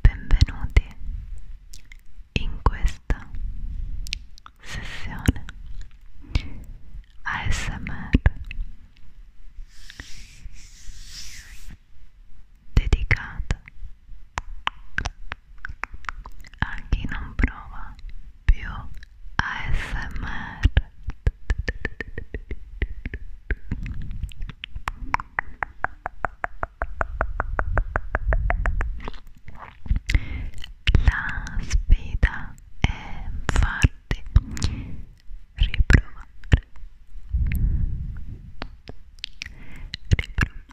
Benvenuti in questa sessione ASMR dedicata a chi non prova più ASMR la sfida è farti riprovare riprovare riprovare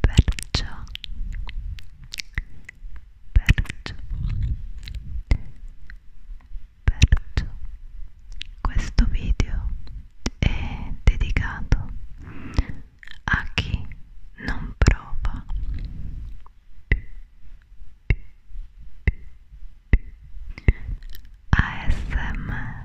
perciò perciò perciò questo video è dedicato a chi non prova ASMR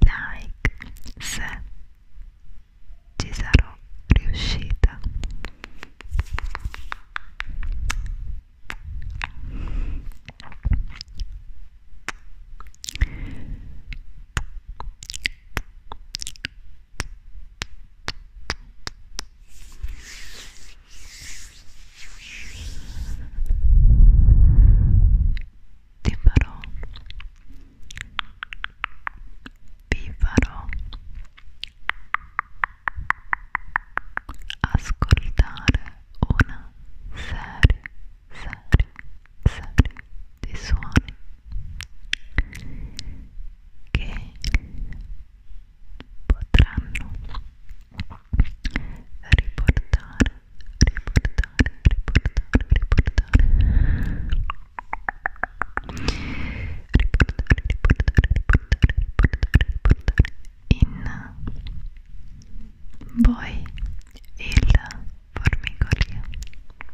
like se ci sarò riuscita ti farò, vi farò ascoltare una serie serie, serie di suoni che potranno riportare, riportare, riportare, riportare, riportare, riportare, riportare, riportare, riportare in voi il formicolio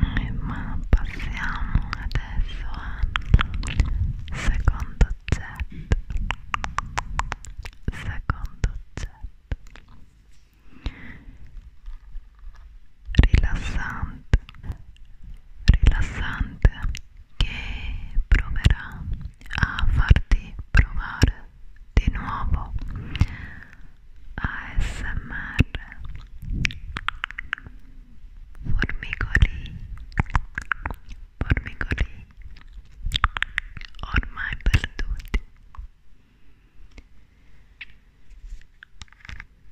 Eh, ma passiamo adesso al secondo oggetto secondo oggetto rilassante rilassante che proverà a farti provare di nuovo ASMR formicoli formicoli ormai perduti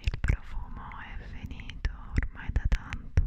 Il profumo è finito ormai da tanto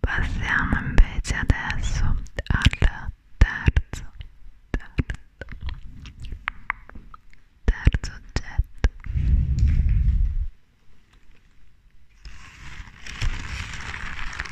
Passiamo invece adesso al terzo, terzo, terzo oggetto.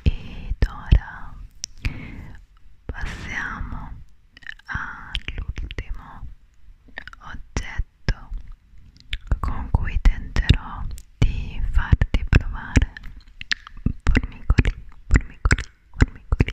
Ed ora passiamo all'ultimo oggetto con cui tenterò di farti provare formicoli, formicoli, formicoli.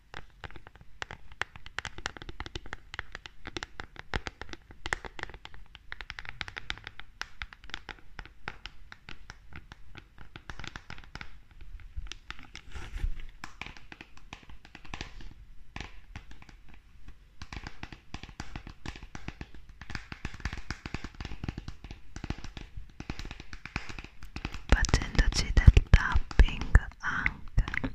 facendoci del tapping anche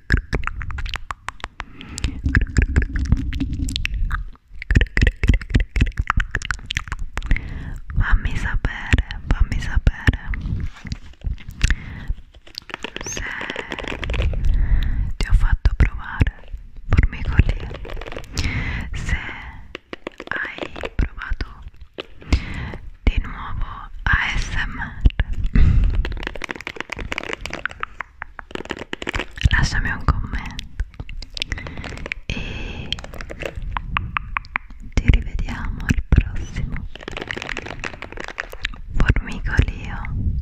fammi sapere fammi sapere se ti ho fatto provare formicolia se hai provato di nuovo ASMR lasciami un commento e ci rivediamo al prossimo formicolio